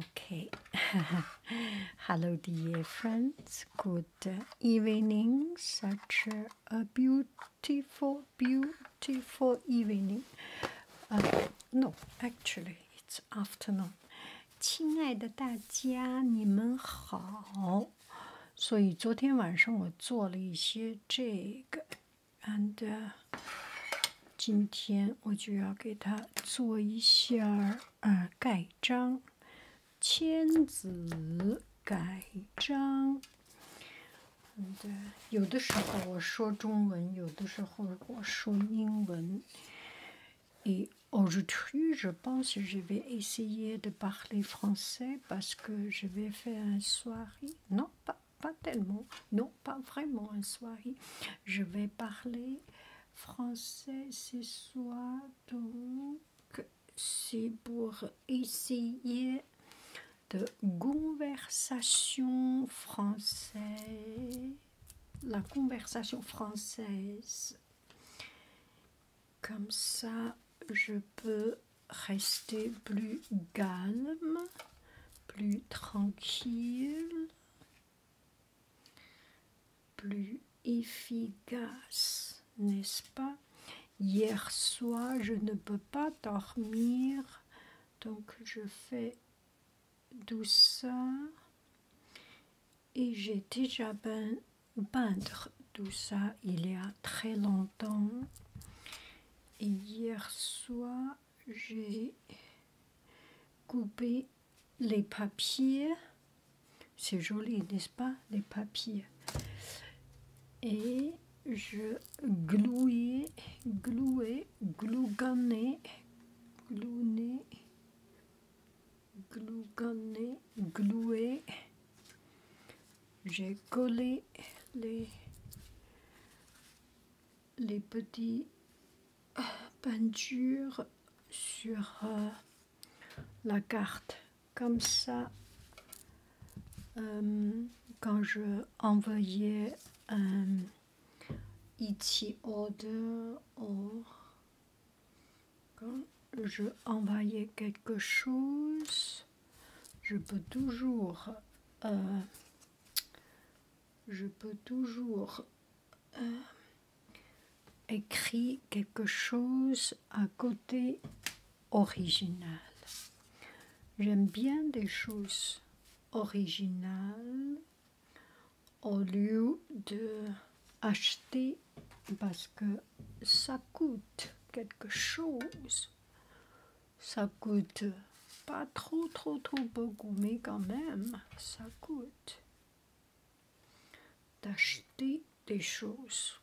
Okay, hello, dear friends. Good evening. Such a beautiful, beautiful evening. No, actually, it's afternoon. 亲爱的大家，你们好。所以昨天晚上我做了一些这个。and uh, 今天我就要给它做一下呃盖章，签字盖章。对，有的时候我说中文，有的时候我说英文。Et uh, aujourd'hui, je pense que je vais essayer de parler français parce que je vais faire une soirée. Non, pas pas, tellement, non, pas vraiment une soirée. Je vais parler français ce soir, donc c'est pour essayer de conversation française, la conversation française. Comme ça, je peux rester plus calme plus tranquille, plus efficace, n'est-ce pas Hier soir, je ne peux pas dormir, donc je fais douceur et j'ai déjà peint tout ça il y a très longtemps. Et hier soir, j'ai coupé les papiers. C'est joli, n'est-ce pas Les papiers. Et je glouais, glouais, glouganais, glouné, glouganais, glouais j'ai collé les, les petits euh, peintures sur euh, la carte. Comme ça, euh, quand je envoyais un ici e order quand je envoyais quelque chose, je peux toujours euh, je peux toujours euh, écrire quelque chose à côté original j'aime bien des choses originales au lieu de acheter parce que ça coûte quelque chose ça coûte pas trop, trop, trop beaucoup, mais quand même, ça coûte d'acheter des choses.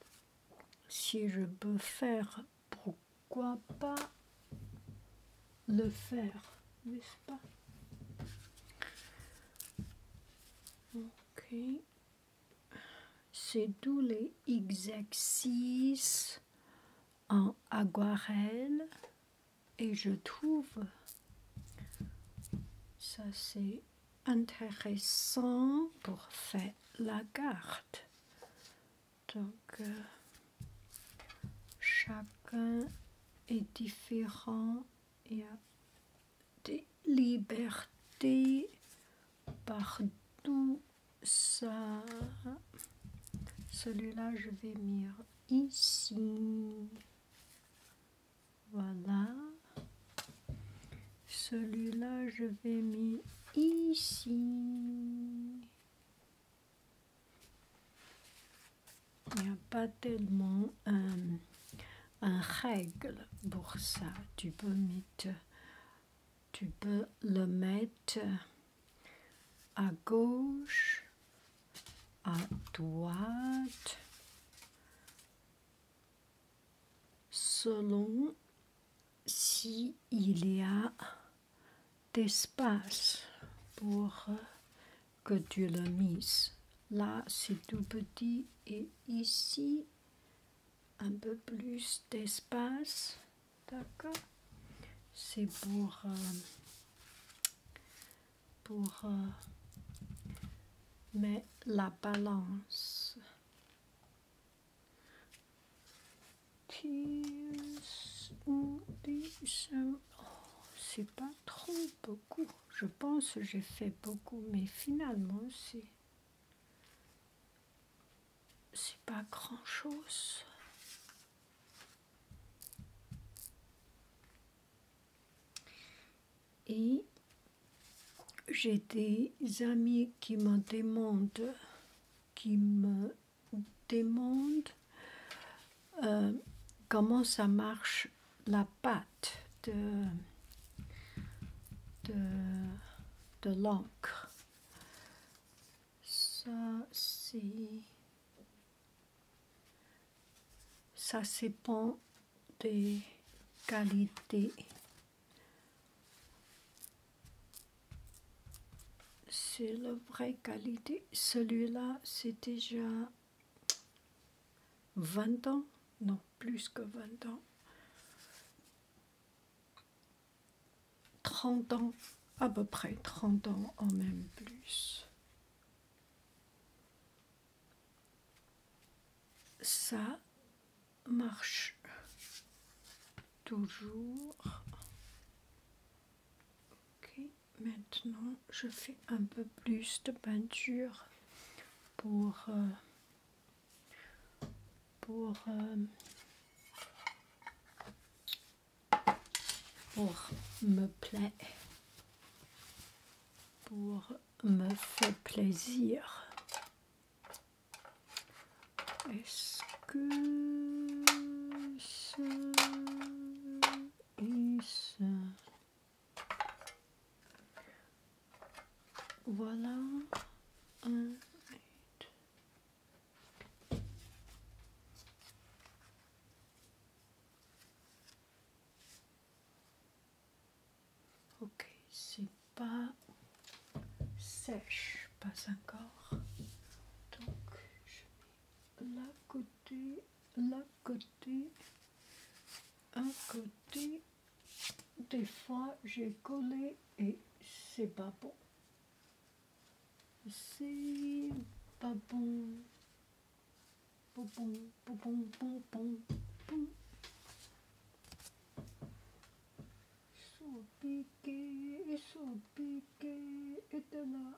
Si je peux faire, pourquoi pas le faire, n'est-ce pas Ok c'est tous les exercices en aquarelle et je trouve ça c'est intéressant pour faire la carte. Donc euh, chacun est différent, et y a des libertés Partout ça. Celui-là, je vais mettre ici. Voilà. Celui-là, je vais mettre ici. Il n'y a pas tellement euh, un règle pour ça. Tu peux mettre tu peux le mettre à gauche, à droite, selon s'il il y a d'espace pour que tu le mises. Là, c'est tout petit et ici, un peu plus d'espace. D'accord C'est pour, euh, pour euh, mais mettre la balance. Oh, c'est pas trop beaucoup. Je pense j'ai fait beaucoup, mais finalement, c'est c'est pas grand chose. Et j'ai des amis qui me demandent, qui me demandent euh, comment ça marche la pâte de, de, l'encre. Ça, c'est... Ça pas des qualités. C'est la vraie qualité. Celui-là, c'est déjà 20 ans, non, plus que 20 ans, 30 ans, à peu près 30 ans en même plus. Ça marche toujours. Ok, maintenant je fais un peu plus de peinture pour, euh, pour, euh, pour me plaît pour me faire plaisir. Est-ce que ça est ça voilà. ok, c'est pas sèche, pas encore. Donc je mets la côté, là côté, un côté, des fois j'ai collé et c'est pas bon. C'est pas bon. Bon, bon, bon, bon, bon, et de là.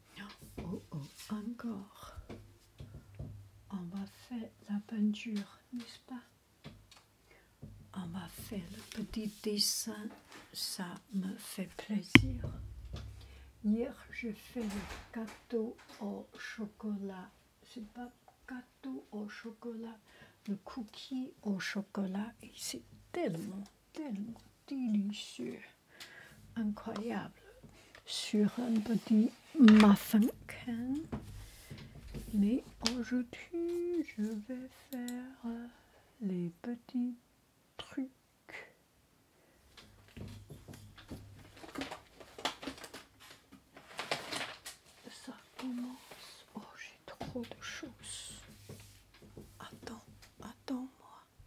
Oh oh, encore. On va faire la peinture, n'est-ce pas On va faire le petit dessin, ça me fait plaisir. Hier, j'ai fait le gâteau au chocolat. C'est pas gâteau au chocolat, le cookie au chocolat. Et c'est tellement, tellement délicieux incroyable sur un petit mafinkin Mais aujourd'hui, je vais faire euh, les petits trucs. Ça commence. Oh, j'ai trop de choses. Attends, attends-moi.